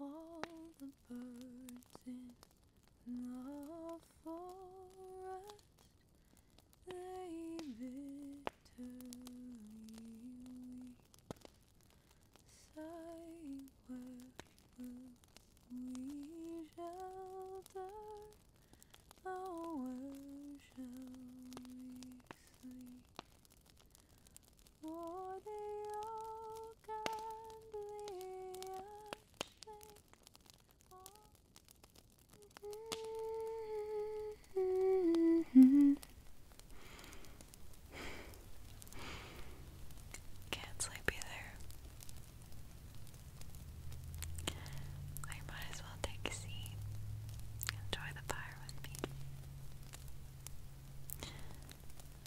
All the birds in the forest, they bitterly weep, sighing, where will we shelter? Oh, shall we sleep? For they all can't sleep either. I might as well take a seat. Enjoy the fire with me.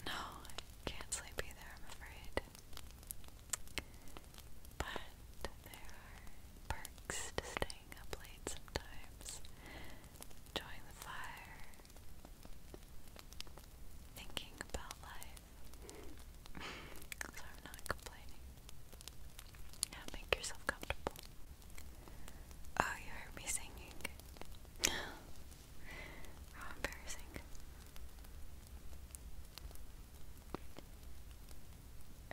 No, I can't sleep either, I'm afraid. But there are perks to staying up late sometimes. Enjoying the fire. Thinking about life. so I'm not complaining. Yeah, make yourself comfortable. Oh, you heard me singing. How embarrassing.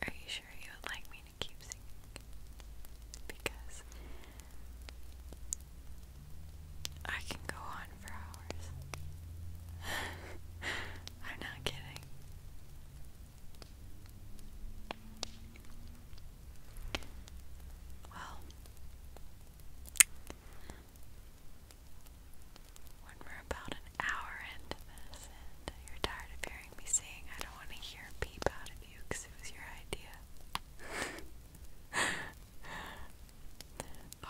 Are you sure you would like me to keep singing? Because I can go on for hours. I'm not kidding. Well, we're about an hour into this you're tired of hearing me sing, I don't want to hear a peep out of you because it was your idea.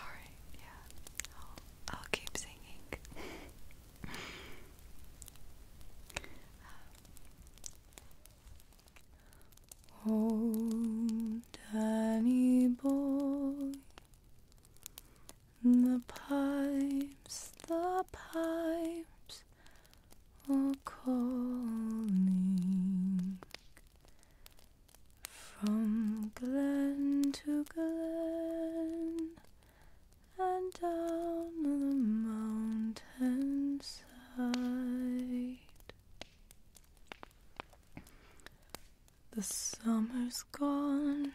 Alright, yeah. I'll, I'll keep singing. Um, Oh, Danny boy, the pipes, the pipes are calling from glen to glen and down the mountain side. The summer's gone,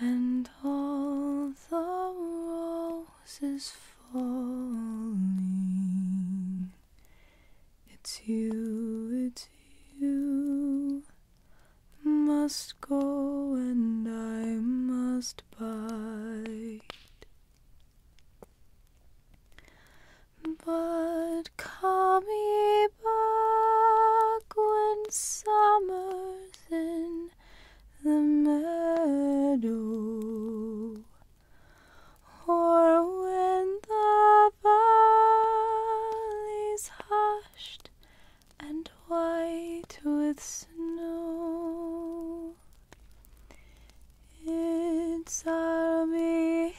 and all the roses falling. It's you, it's you. Must go, and I must bide. But call me back when summer's in the meadow, or when the valley's hushed and white with snow. Inside me in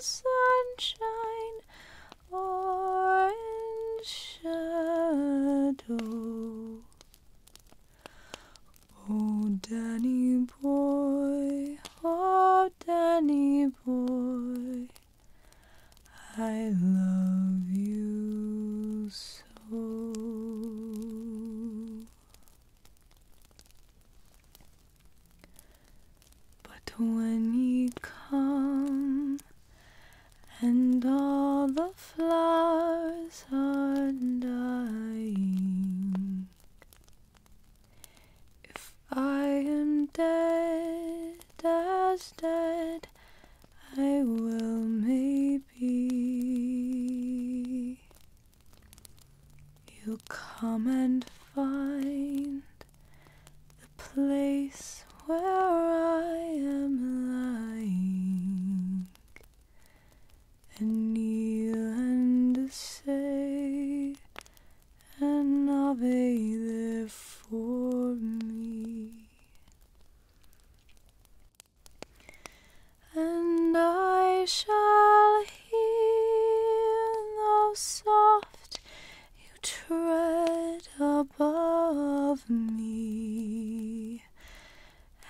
sunshine or in shadow. Oh, Danny boy, oh, Danny boy, I love you so. But when you come and all the flowers are dying, if I am dead as dead, I will maybe you come and find the place where I am lying and kneel and say, and I'll there for me. And I shall hear though soft you tread above me,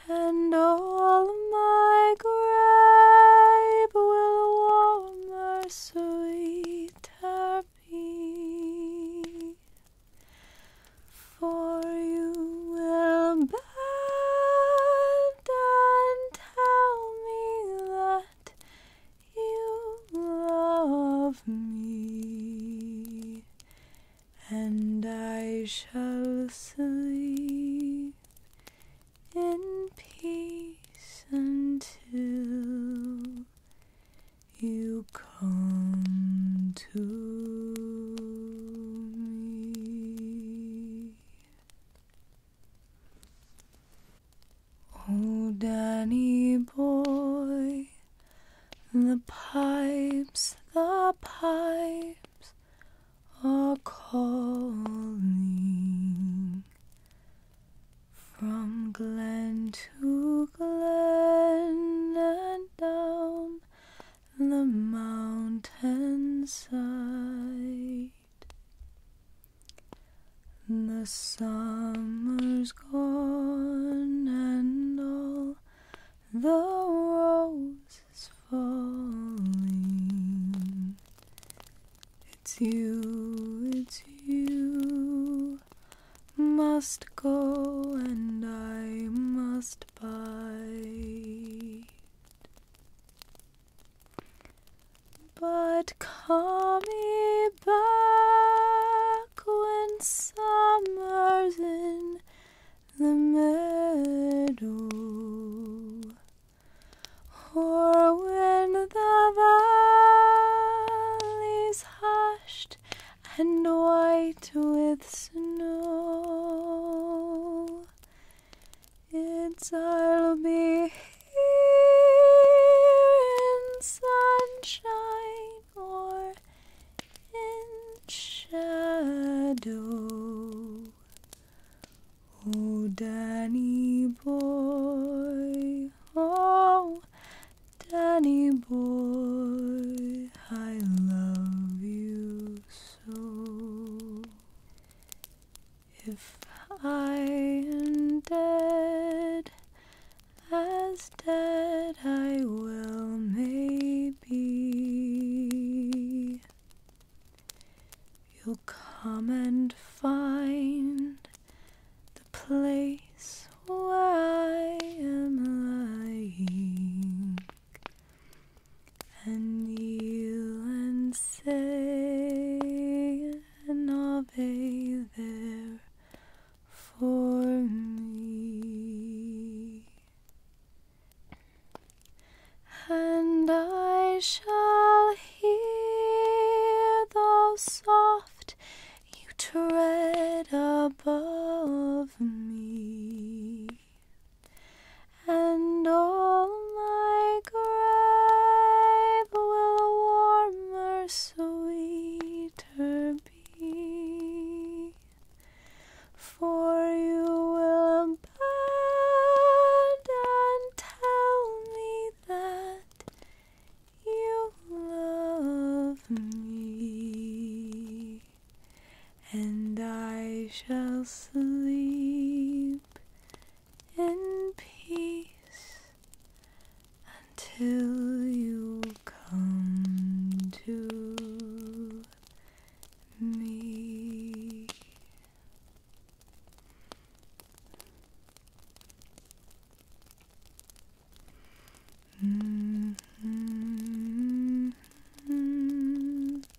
and all my gripe will warmer, sweeter be. For you will and tell me that you love me, and I shall sleep in peace until you come to me. Oh, Danny boy, the pipes, the pipes are calling from glen to glen and down the mountain side. The summer's gone and all the roses falling. It's you, it's you must go and I must bide. But call me back when summer's in the meadow, or when the valley's hushed and white with snow. It's I'll be here in sunshine or in shadow. Oh, Danny boy, oh, Danny boy, I love you so. If I am dead, as dead I will maybe, you'll come and find the place where I am lying and kneel and say an ave there for me, and I shall hear the soft you tread above me and all my grave will warmer, sweeter be. For you will bend and tell me that you love me, and I shall sleep in peace until you come to me. Mm-hmm.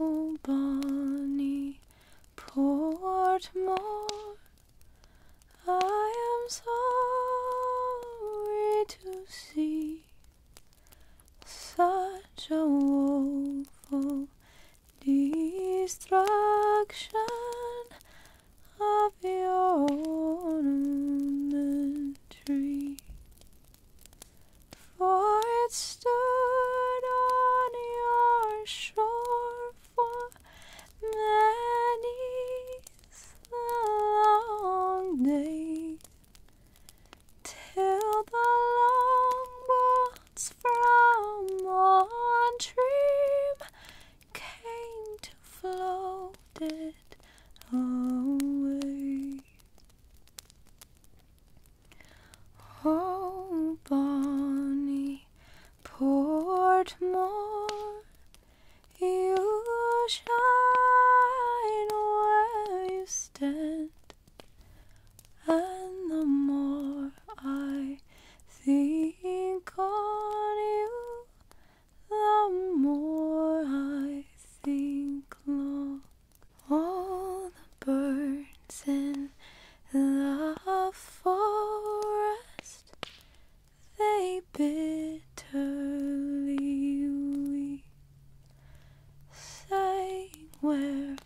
Oh, Bonnie, Poor Portmore, I am sorry to see such a woeful destruction of your ornament tree, for it's stood on your shore for many long day till the long walls from on came to float it away. Oh, Bonnie Portmore, you shine where you stand, and the more I think on you, the more I think long. All the birds in the forest, they bitterly weep, saying, Where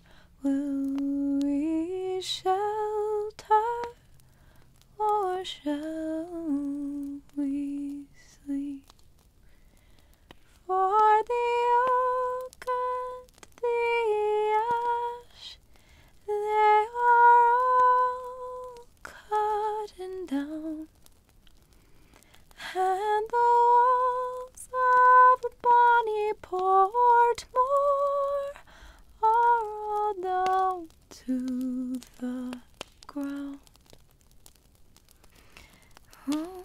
will we shelter, or shall we sleep? For the old the ash, they are all cutting down, and the walls of Bonnie Portmore are all down to the ground. Oh,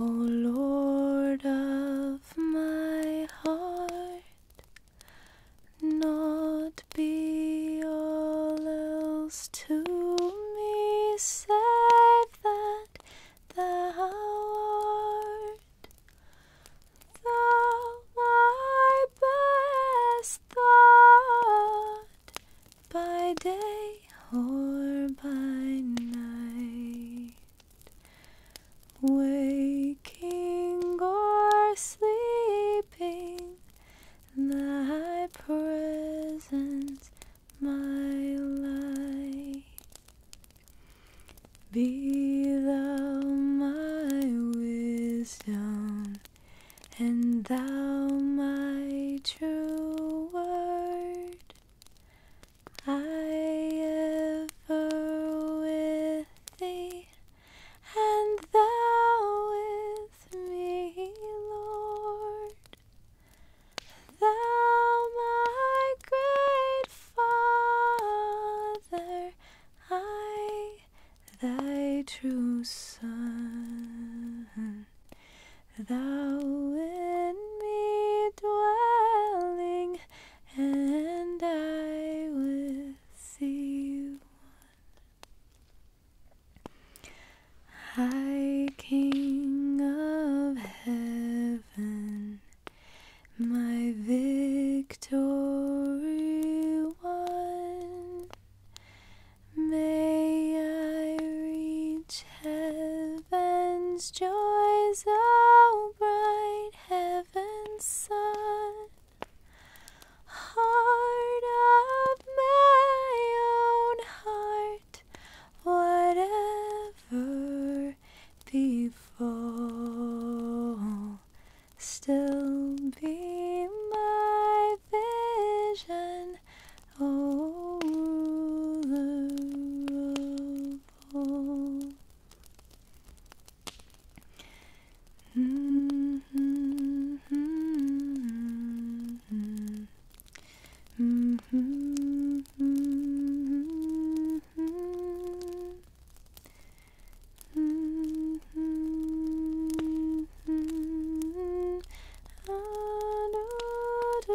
O Lord of my heart, not be all else to me save that thou art. Thou my best thought, by day or by night, waking or sleeping, thy presence, my light, be thou my wisdom, and thou my true word. I ever with thee, and thou with me, Lord. Thou, my great Father, I, thy true Son. Thou in me dwelling, and I with thee one. High King of Heaven, my victory won. May I reach Heaven's joys, so bright, heaven's sun, heart of my own heart, whatever befall, still be my vision all the rubble. Mm -hmm, mm -hmm. Mm -hmm, mm -hmm. Mm -hmm, mm -hmm. Ah, do, do,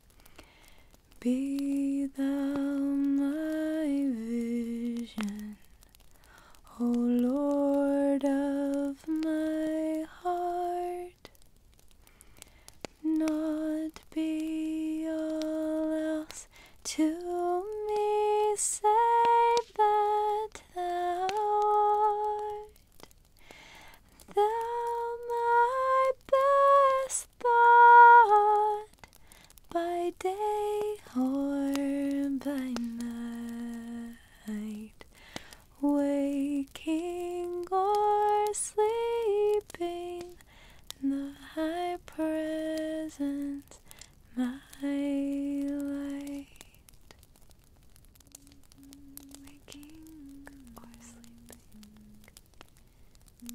Be thou my vision, O Lord of my heart, not be all else to me, save that thou art. Thou my best thought by day or by night, waking or sleeping, the high presence, my light waking or sleeping.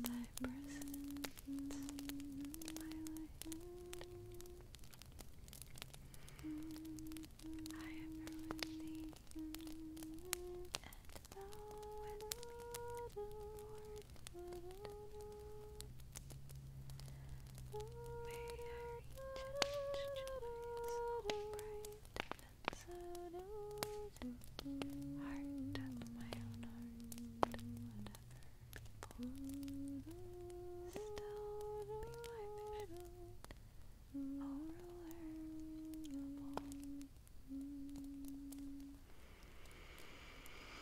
Thy presence, my light. I am here and thou with me, Lord. May our bright. Heart my own heart, whatever. Still be my vision. O ruler Are you warm enough?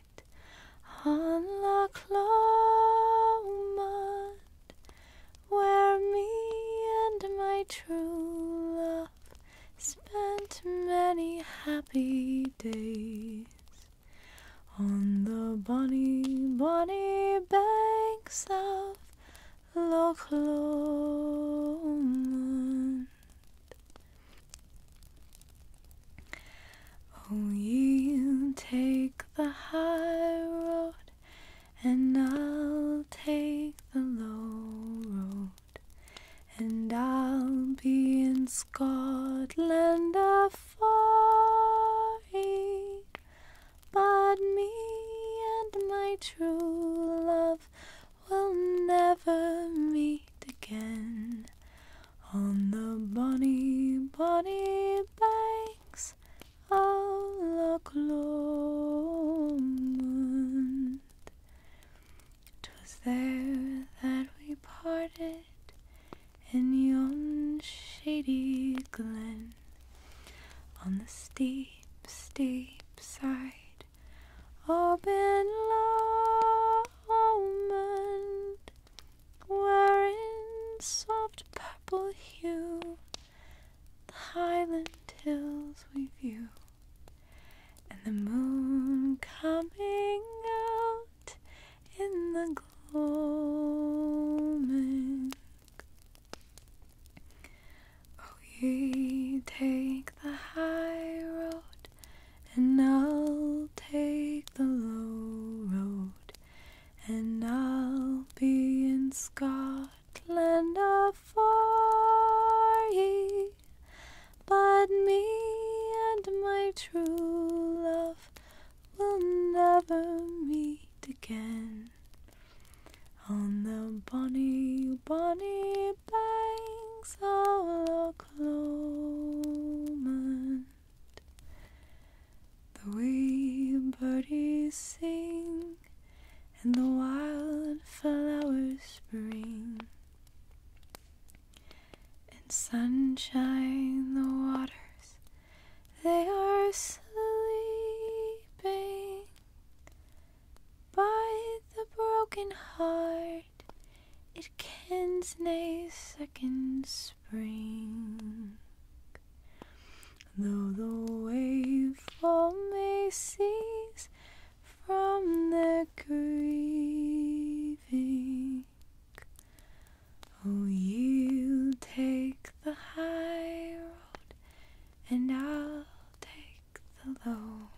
night on Loch Lomond, where me and my true love spent many happy days. On the bonny, bonny banks of Loch Lomond. Oh, you will take the high road, and I'll take the low road, and I'll be in Scotland afar, but me and my true love will never meet again on the bonny, bonny banks of Loch Lomond. 'Twas there that we parted in yon shady glen, on the steep, steep side of Ben Lomond were in soft purple hue the highland hills we view, and the moon coming out in the gloaming. Oh, ye take the high road, and I'll take the low road. And I'll be in Scotland afar ye, but me and my true love will never meet again. On the bonny, bonny banks of Loch Lomond. The way birdies sing and the wild flowers spring, and sunshine the waters they are sleeping by the broken heart. It kens nay seconds. Though the waveform may cease from their grieving, oh, you take the high road, and I'll take the low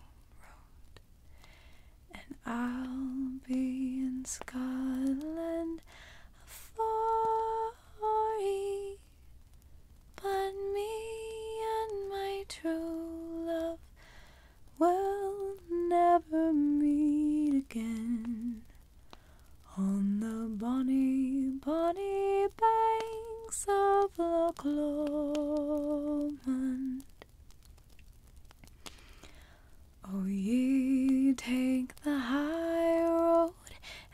road, and I'll be in Scotland Forty, but me and my true love will never meet again on the bonny, bonny banks of Loch Lomond. Oh, ye take the high road,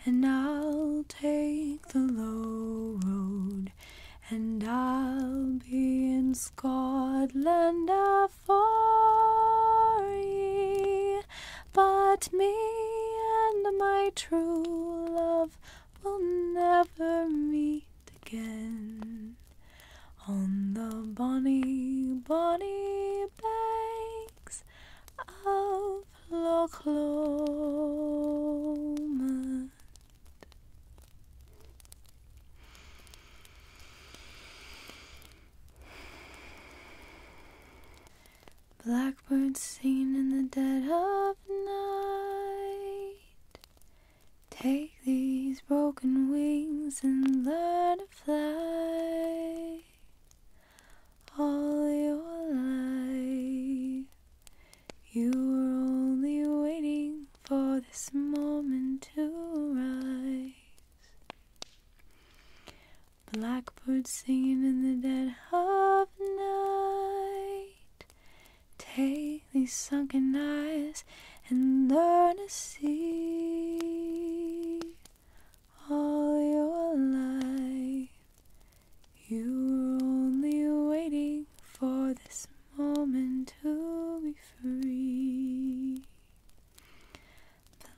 and I'll take the low road, and I'll be in Scotland afore ye. But me and my true love will never meet again on the bonny, bonny banks of Loch Lomond. Blackbirds singing in the dead of night. Take these broken wings and learn to fly all your life. You were only waiting for this moment to rise. Blackbird singing in the dead of night. Take these sunken eyes and learn to see all your life. You were only waiting for this moment to be free.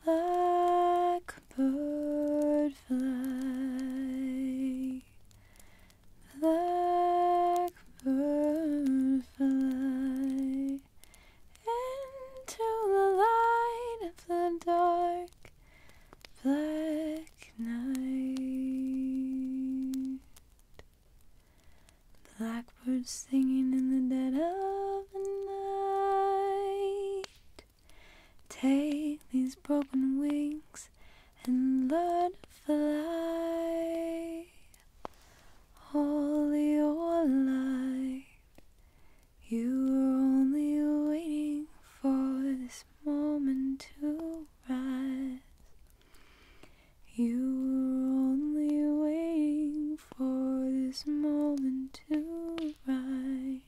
Blackbird fly, blackbird fly into the light of the dark black night. Blackbird singing in the dead of night. Take these broken wings and learn to fly all your life. You were only waiting for this moment to rise. You were only waiting for this moment to rise.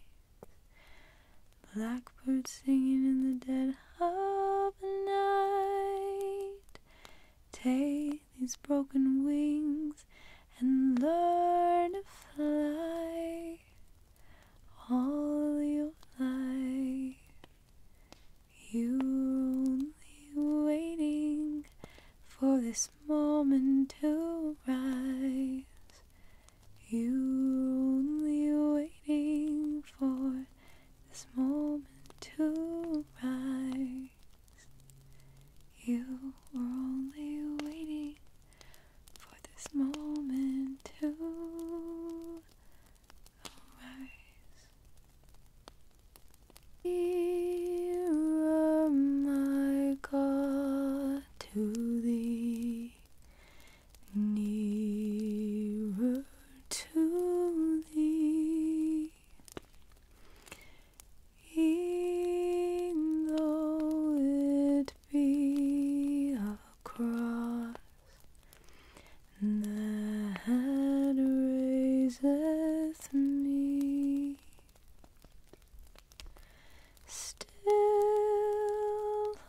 Blackbird singing in the dead of night. Take these broken wings and learn to fly all your life. You're only waiting for this moment to rise. You're only waiting for this moment to rise. You were only waiting for this moment to arise. Here am God, to thee, nearer to thee. E'en though it be a cross that raiseth me, still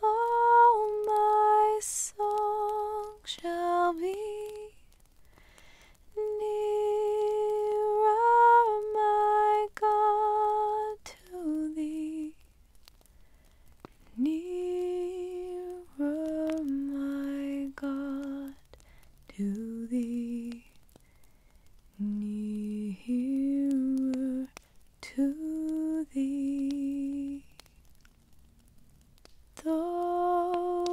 all my song shall be. Nearer my God, to thee, nearer, my God, to thee, nearer to thee. Though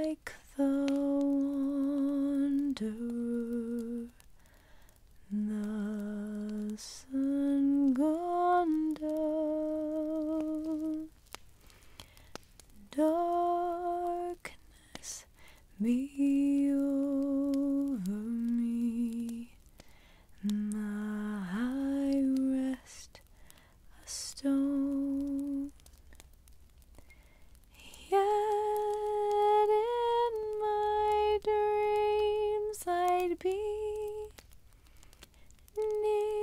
like the wanderer the sun gone down, darkness be over me, my high rest a stone. Yet in my dreams I'd be nearer,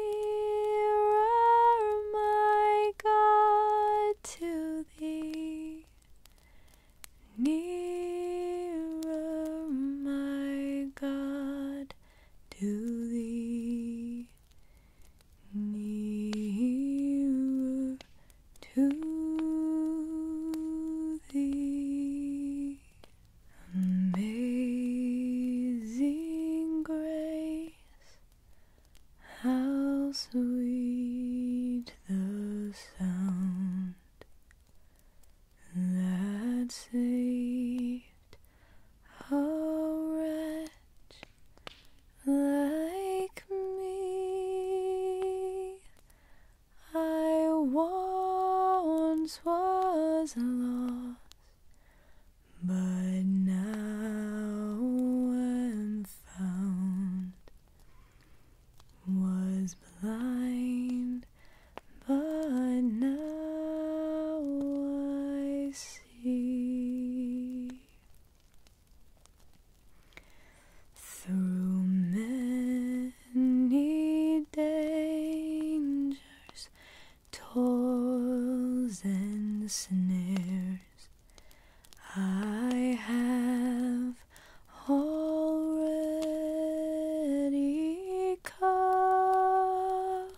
my God, to Thee. Nearer, my God, to Thee. Nearer, to thee. Amazing grace, how sweet the sound that saved a wretch like me. I once was lost, but now am found. Was blind, but now I see. Through many dangers, toils, and snares, I have already come.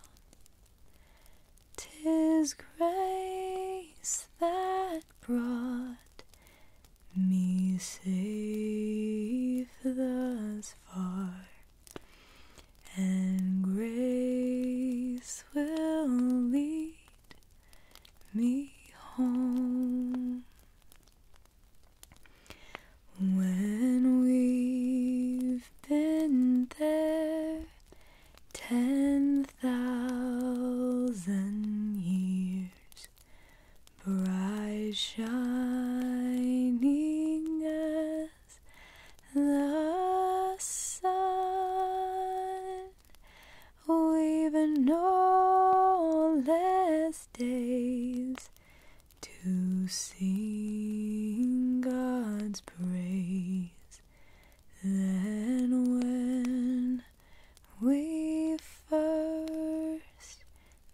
Tis grace that brought me safe thus far, and grace will lead me home. When we've been there ten thousand years, bright shining as the sun. Weaving all less days to sing God's praise. Then when we first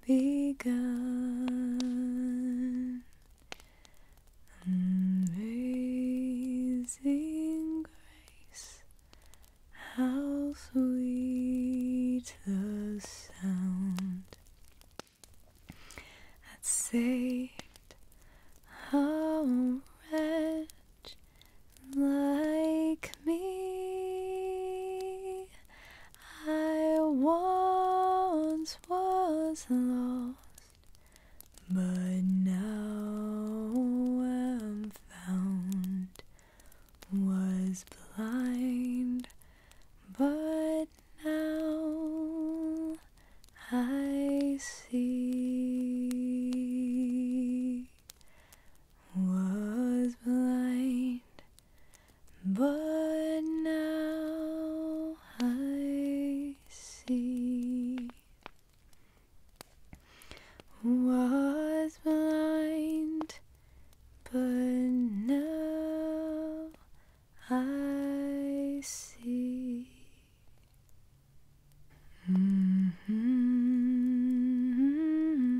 begun. Amazing grace, how sweet the sound that saved a wretch like me. I once was lost, but now am found. Was blind, but now I see was blind, but now I see. Was blind, but now I see. Mm-hmm.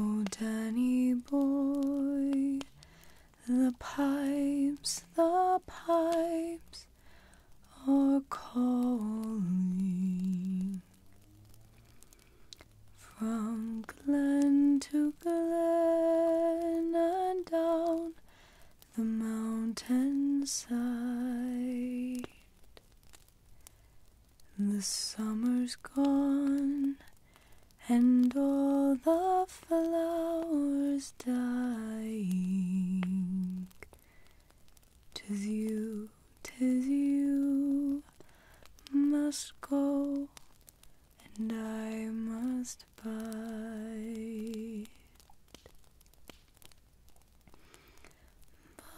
Oh, Danny boy, the pipes, the pipes are calling from glen to glen and down the mountain side. The summer's gone, and all the flowers dying. Tis you, tis you must go, and I must bide.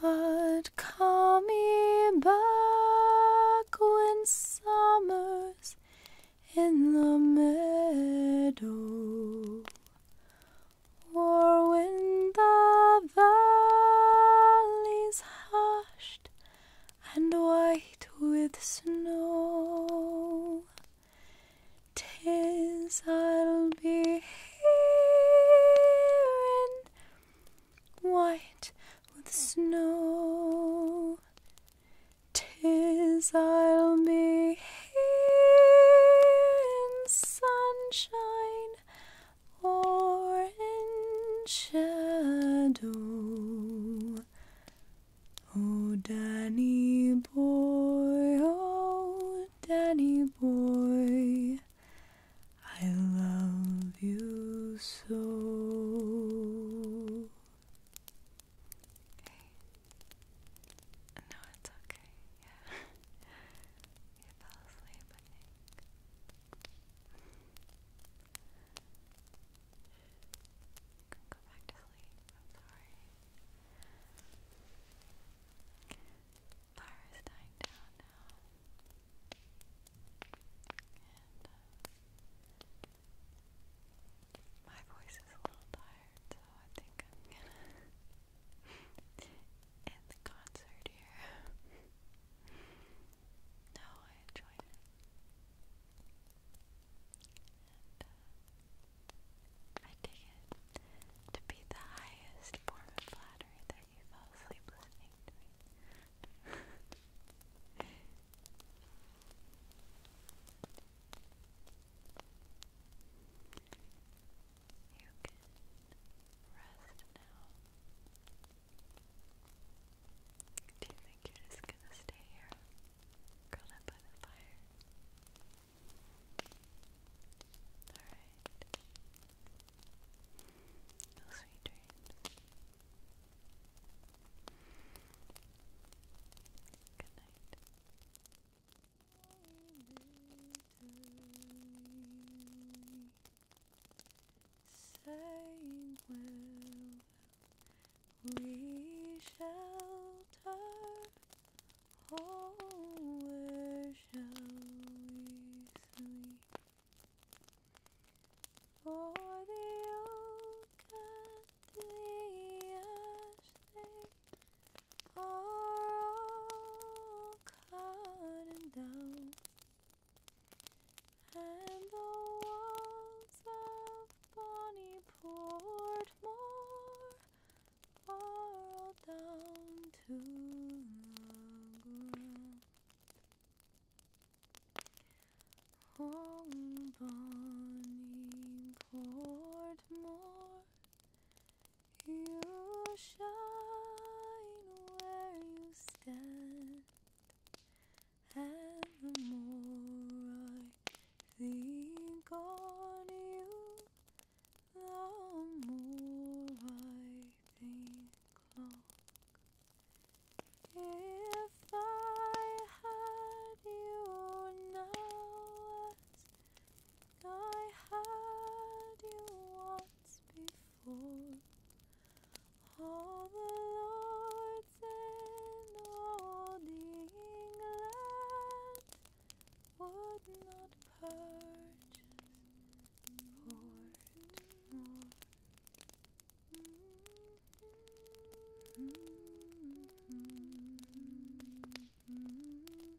But call me back when summer's in the meadow, or when the valley's hushed and white with snow. I'll be here in white with snow. Tis I'll be here in sunshine or in shadow. Oh, Danny boy, oh, Danny boy, I love you so. No, it's okay. Yeah. you fell asleep, I am sorry. Fire is dying down now. Uh, my voice is a little tired, so I think I'm gonna in the concert here. no, I enjoyed it. Uh, I take it to be the highest form of flattery that you fell asleep listening to me. You can rest now. Do you think you're just gonna stay here, curled up by the fire? Alright. No sweet dreams. Good night saying well we shelter oh where shall we sleep for the oak and the ash they are all cutting down, and the walls of Bonnie Portmore are all down to the ground. Oh, Bonnie Portmore. You shine where you stand, and the more I think on you, the more I think long. If I had you now I had you once before. All the lords and all the England would not purchase Portmore. Mm-hmm. mm-hmm. mm-hmm.